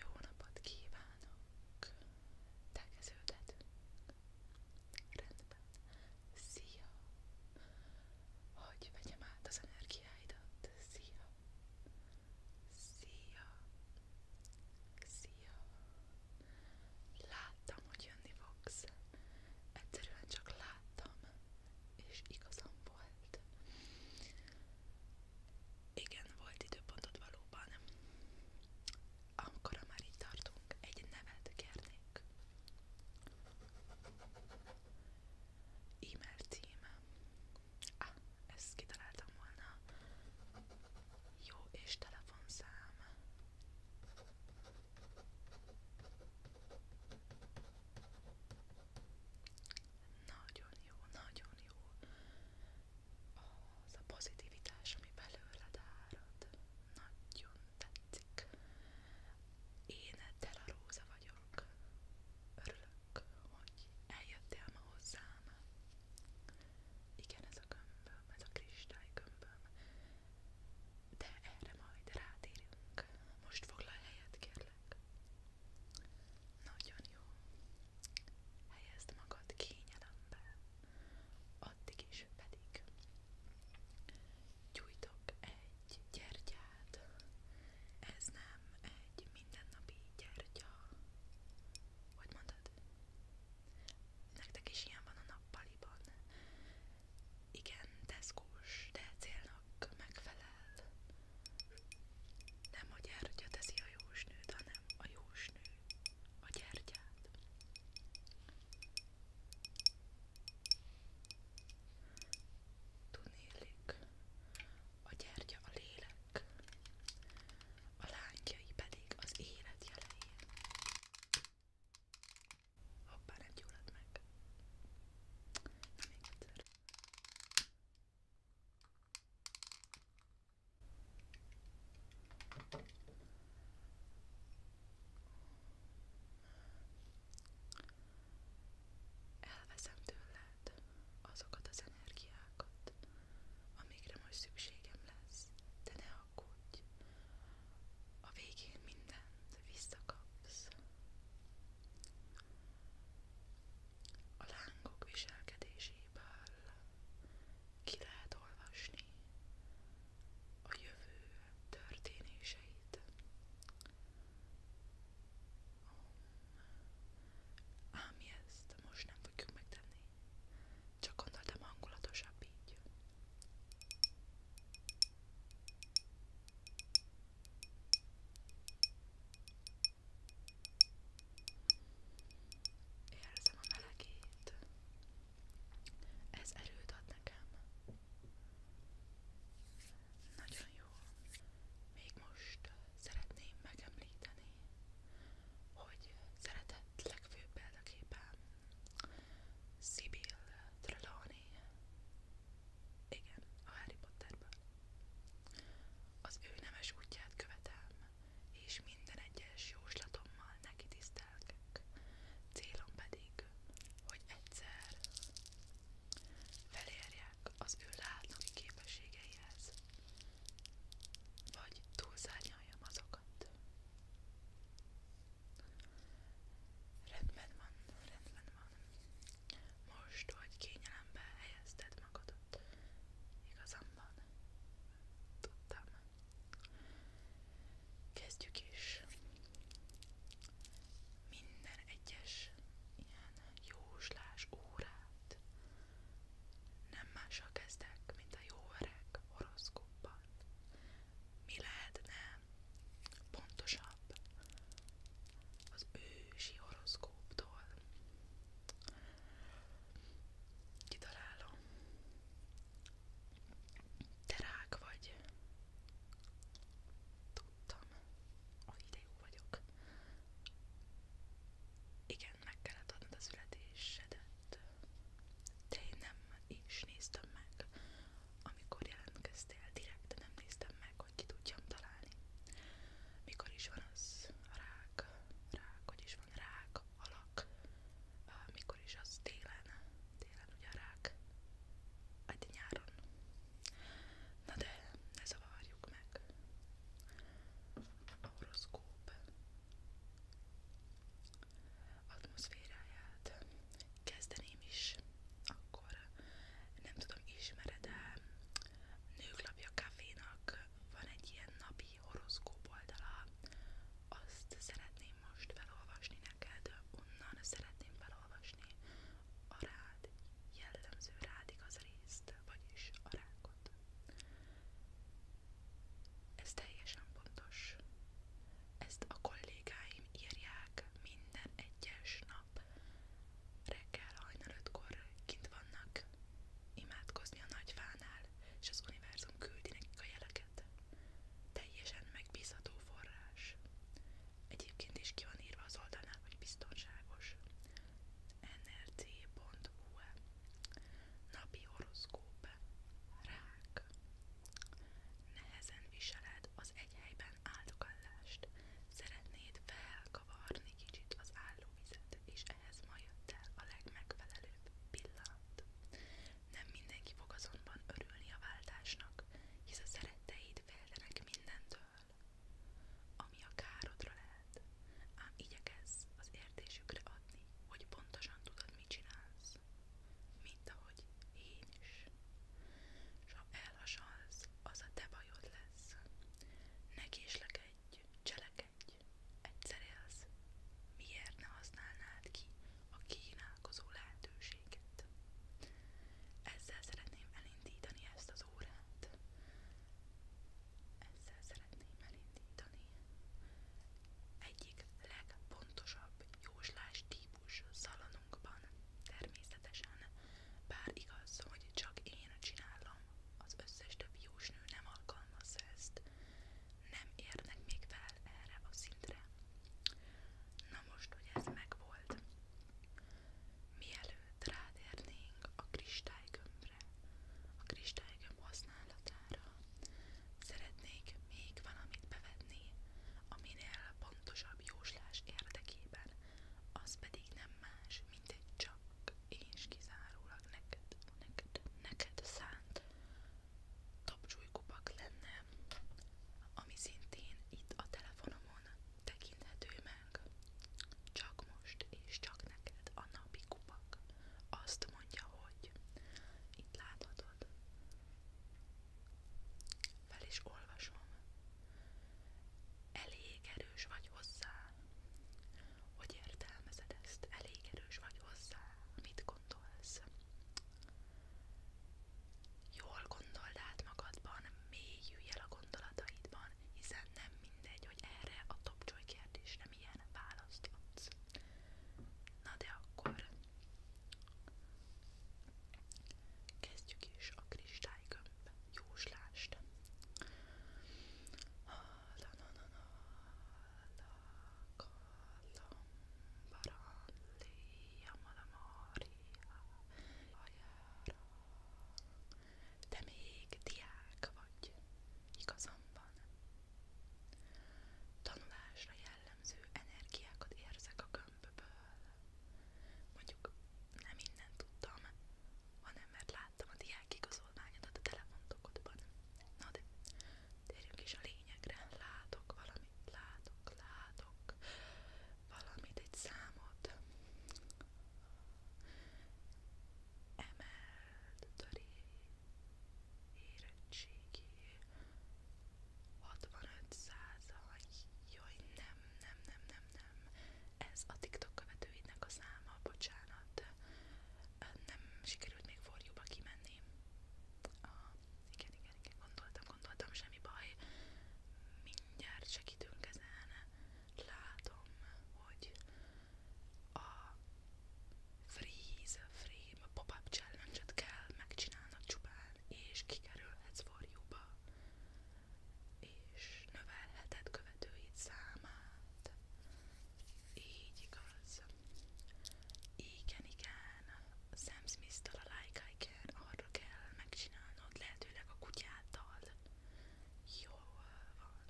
Jó napot kívánok! Tegeződhetünk. Rendben. Szia! Hogy vegyem át az energiáidat. Szia! Szia! Szia! Láttam, hogy jönni fogsz. Egyszerűen csak láttam, és igazam volt. Igen, volt időpontod valóban. Amikor már így tartunk, egy nevet kérnék. E-mail címem. Ah, ezt kitaláltam volna. Jó, és telefonszám. Nagyon jó, nagyon jó az a pozitivitás, ami belőled árad. Nagyon tetszik. Én Della Róza vagyok. Örülök, hogy eljöttél ma hozzám. Igen, ez a gömböm, ez a kristálygömböm de erre majd rátérünk. Most foglalj helyet, kérlek. Nagyon jó. Helyezd magad kényelembe, addig is pedig gyújtok egy gyertyát. Ez nem egy mindennapi gyertya. Hogy mondod? Nektek is ilyen van a nappaliban. Igen, teszkós, de célnak megfelel. Nem a gyertya teszi a jósnőt, hanem a jósnő a gyertyát. Tunélik, a gyertya a lélek, a lángjai pedig az élet jelei. Hoppá, nem gyulladt meg. Na, még egyszer. Elveszem tőled azokat az energiákat, amikre most szükségem lesz, de ne alkudj. A végén mindent visszakapsz. A lángok viselkedéséből ki lehet olvasni a jövő történéseit. Ám ezt most nem fogjuk megtenni. Csak gondoltam hangulatosabb így. Érzem a melegét. Ez erőt ad nekem. Nagyon jó. Még most szeretném megemlíteni, hogy szeretett legfőbb példaképpen Sibyl Trelawney. Igen, a Harry Potterből. Az ő nemes útját követem, és minden egyes jóslatommal neki tisztelgek. Célom pedig, hogy egyszer felérjek az ő látnoki képességeihez, vagy túlszárnyaljam azokat. Rendben van, rendben van. Most, hogy kényelembe helyezted magadat, igazam van. Tudtam. Kezdjük is. Minden egyes ilyen jóslás órát nem mással kezdek, mint a jó öreg horoszkóppal mi lehetne pontosabb az ősi horoszkóptól. Kitalálom. Te rák vagy. Tudtam, a videó vagyok. Igen, meg kellett adnod a születésedet. De én nem is néztem meg amikor jelentkeztél, direkt nem néztem meg, hogy ki tudjam találni. Mikor is van az rák, rák, hogy is van rák, alak, mikor is az télen, télen ugye a rák, hát nyáron. Na de, ne zavarjuk meg. A horoszkóp atmoszféráját. Kezdeném is, akkor nem tudom, ismered de Nőklapja Cafénak van egy ilyen napi horoszkóp oldala, azt szeretném most felolvasni neked, onnan szeretném felolvasni a rád, jellemző rád igaz részt, vagyis a rákot. Ez teljesen pontos. Ezt a kollégáim írják minden egyes nap. Reggel hajnal ötkor kint vannak imádkozni a nagyfánál, és az univerzum küldi nekik a jeleket. Teljesen megbízható forrás. Egyébként is ki van írva az oldalnál, hogy biztonságos. nrc.hu e. Napi horoszkóp Rá ruhák. Nehezen viseled az egy helyben áldokallást. Szeretnéd felkavarni kicsit az állóvizet, és ehhez ma jött el a legmegfelelőbb pillanat. Nem mindenki fog azonban örülni a váltásnak, hisz a szeretteid féltenek mindentől, ami a károdra lehet, ám igyekezz az értésükre adni, hogy pontosan tudod, mit csinálsz lesz, mint ahogy én is. S ha az a te lesz. Ne késlekedj, cselekedj, egyszer élsz. Miért ne használnád ki a kínálkozó lehetőséget? Ezzel szeretném elindítani ezt az órát. Ezzel szeretném elindítani egyik legpontosabb jóslási típus szalonunkban. Természetesen, bár igaz, hogy csak én csinálom, az összes többi jósnő nem alkalmazza ezt. Nem érnek még fel erre a szintre. Na most, hogy ez megvolt. Mielőtt rátérnénk a kristálygömbre, a kristálygömb használatára, szeretnék még valamit bevetni, a minél pontosabb jóslás érdekében, az pedig nem más, mint egy csak és kizárólag neked, neked, neked szánt tapcsolykubak lenne, ami szintén itt a telefonomon tekinthető meg. Csak most és csak neked a napi kupak azt mondja, hogy itt láthatod, fel is olvasom. Elég erős vagy hozzá. Hogy értelmezed ezt? Elég erős vagy hozzá. Mit gondolsz? Jól gondold át magadban, mélyülj el a gondolataidban, hiszen nem mindegy, hogy erre a topcsoly kérdésre milyen választ adsz. Na de akkor Kezdjük is a kristálygömb jóslást. La la la la la kalambarandia malamária hajára. Te még diák vagy, igazam van. Tanulásra jellemző energiákat érzek a gömb gömbből. Mondjuk nem innen tudtam, hanem mert láttam a diák igazolványodat a telefontokodban. Na de térjünk is a lényegre. Látok valamit, látok, látok valamit, egy számot. Emelt töré, érettségi, 65 százalék, jaj nem, nem, nem, nem, nem, ez a TikTok követőidnek a száma, bocsánat, nem sikerült még forjúba kimenni. Ah, igen, igen, igen, gondoltam, gondoltam, semmi baj, mindjárt segítünk ezen, látom, hogy a freeze, frame, pop-up challenge-et kell megcsinálnod csupán, és kikerülhetsz udvarjuba, és növelheted követőid számát. Így igaz. Igen, igen. Sam Smith-től a Like I Can arra kell megcsinálnod, lehetőleg a kutyáddal. Jól van.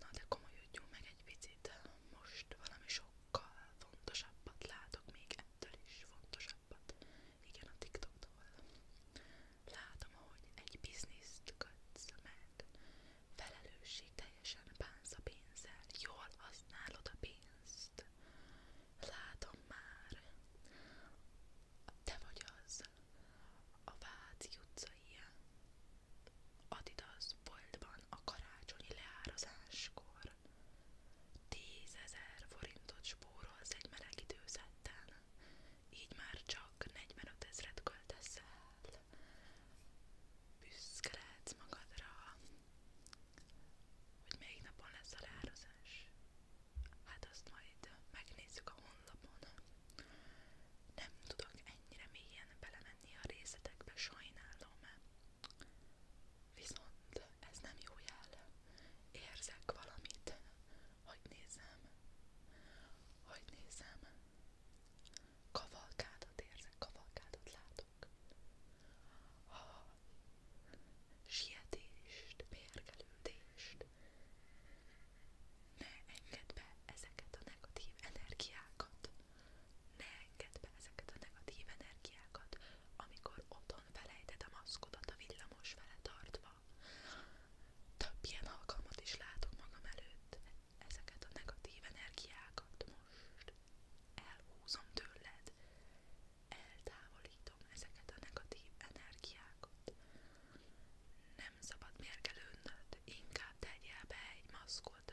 Na de komolyodjunk meg egy picit. Most valami sokkal fontosabbat látok még ettől is fontosabbat. Igen, a TikToktól. Látom, hogy egy bizniszt kötsz meg. Felelősség teljesen bánsz a pénzzel. Jól használod a pénzt. Látom már. Te vagy az. A Váci utcai Adidas boltban a karácsonyi leárazáskor. Tízezer forintot spórolsz egy meleg időzetten, így már csak 45 ezret költesz el. Büszke lehetsz magadra, hogy melyik napon lesz a leározás. Hát azt majd megnézzük a honlapon. Nem tudok ennyire mélyen belemenni a részletekbe, sajnálom. Viszont ez nem jó jel. Érzek valamit. Hogy nézem? Hogy nézem? Kavalkádat érzek, kavalkádat látok. Ha sietést, mérgelődést. Ne engedd be ezeket a negatív energiákat. Ne engedd be ezeket a negatív energiákat, amikor ott Otthon felejted a maszkodat a villamos fele tartva. Több ilyen alkalmat is látok magam előtt. Ezeket a negatív energiákat most elhúzom tőled. Eltávolítom ezeket a negatív energiákat. Nem szabad mérgelődnöd, inkább tegyél be egy maszkot.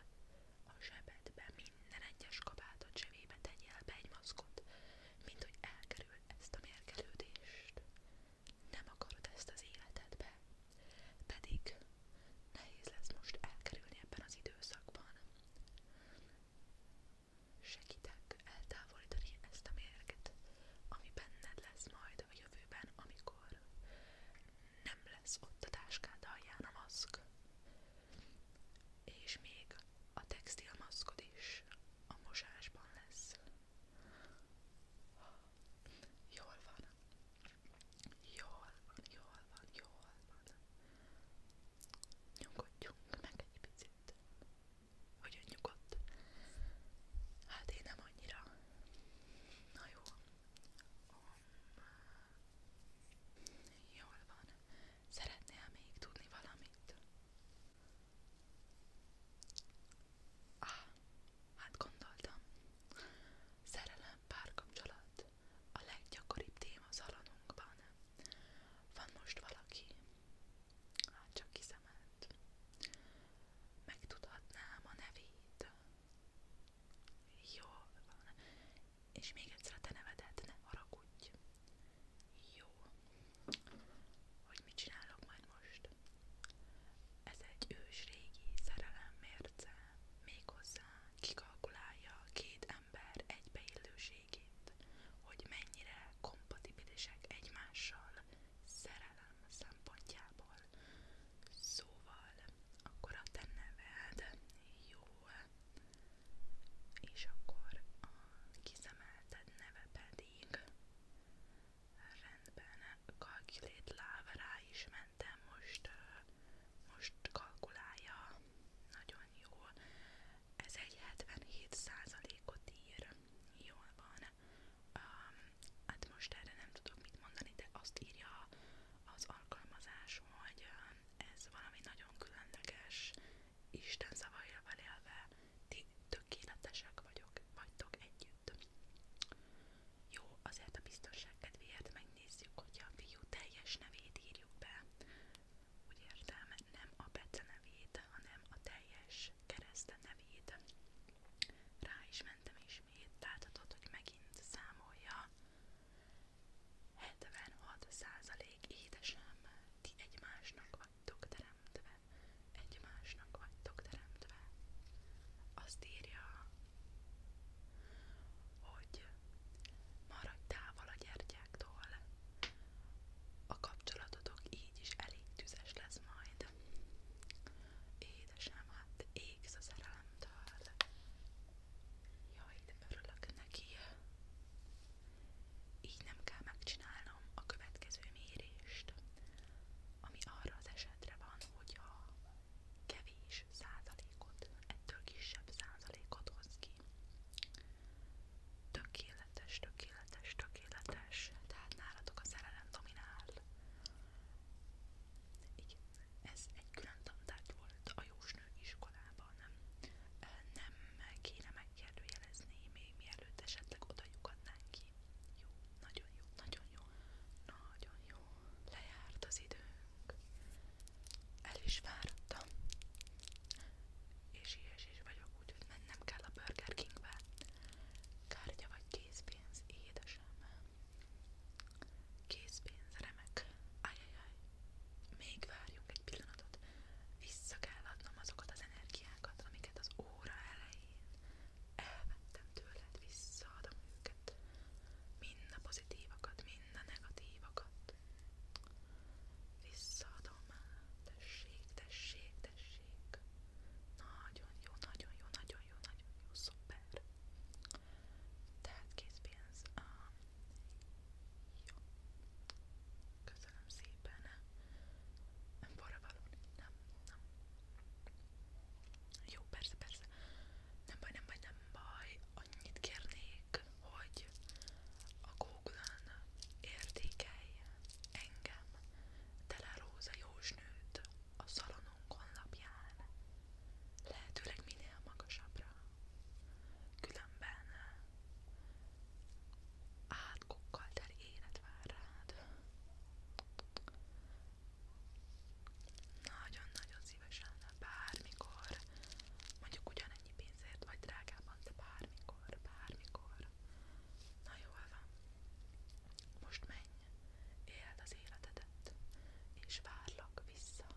A zsebedbe minden egyes kabátod zsebébe tegyél be egy maszkot, mint hogy elkerül ezt a mérgelődést. Nem akarod ezt az életedbe, pedig nehéz lesz most elkerülni ebben az időszakban. Segítek eltávolítani ezt a mérget, ami benned lesz majd a jövőben, amikor nem lesz ott a táskád alján a maszk. És még a textilmaszkod is a mosásban lesz. Jól van. Jól van, jól van, jól van. Nyugodjunk meg egy picit. Hogyan nyugodt? Hát én nem annyira. Na jó. Um, jól van. Szeretnél még tudni valamit? Ah, hát gondoltam. Szerelem, párkapcsolat. A leggyakoribb téma az alanunkban. Van most valaki? Hát csak kiszemelt. Megtudhatnám a nevét. Jól van. És még egyszer a te nevedet, ne haragudj. Jó. Hogy mit csinálok majd most? Ez egy ős régi szerelemmérce, méghozzá kikalkulálja két ember egybeillőségét, hogy mennyire kompatibilisek egymással szerelem szempontjából. Szóval, akkor a te neved. Jó és akkor a kiszemelted neve pedig rendben kalkulét láv rá is mentem most most kalkulálja nagyon jól ez egy 77%-ot ír jól van um, hát most erre nem tudok mit mondani de azt írja az alkalmazás, hogy ez valami nagyon különleges Isten szavaira élve, ti tökéletesek vagyok, vagytok együtt. Jó, azért a biztonság megnézzük, hogy a fiú teljes nevét írjuk be. Úgy értem, nem a Bece nevét, hanem a teljes kereszte nevét. Rá is mentem ismét, láthatod, hogy megint számolja. 76% édesem, ti egymásnak vagytok teremtve, egymásnak vagytok teremtve. Azt írja, hogy maradj távol a gyertyáktól, a kapcsolatotok így is elég tüzes lesz majd. Édesem, hát égsz a szerelemtől. Jaj, de örülök neki. Így nem kell megcsinálnom a következő mérést, ami arra az esetre van, hogy a kevés százalékot, ettől kisebb százalékot hoz ki. Tökéletes, tökéletes, tökéletes, tehát nálatok a szerelem dominál. Igen, ez egy külön tantárgy volt a jósnő iskolában valójában nem kéne megkérdőjelezni, még mielőtt esetleg oda lyukadnánk ki. Jó, nagyon jó, nagyon jó, nagyon jó. Lejárt az időnk. El is vártam. És ilyesés vagyok, úgyhogy mennem kell a Burger Kingbe. Kártya vagy készpénz, édesem. Készpénz, remek. Ajajaj. Még várjunk egy pillanatot, vissza kell adnom azokat az energiákat, amiket az óra elején elvettem tőled, visszaadom őket, mind a pozitívakat, mind a negatívakat, visszaadom, tessék, tessék, tessék, nagyon jó, nagyon jó, nagyon jó, nagyon jó, szuper, tehát készpénz, Köszönöm szépen. Forravaló. Nem, nem. Jó, persze, persze. Nem baj, nem baj, nem baj. Annyit kérnék, hogy a Google-on értékelj engem Tele Róza Jósnőt a szalonunk honlapján. Lehetőleg minél magasabbra. Különben átkokkal teli élet vár rád. Nagyon-nagyon szívesen, bármikor, mondjuk ugyanennyi pénzért vagy drágában, de bármikor, bármikor. Na jól van, most menj, éld az életedet, és várlak vissza.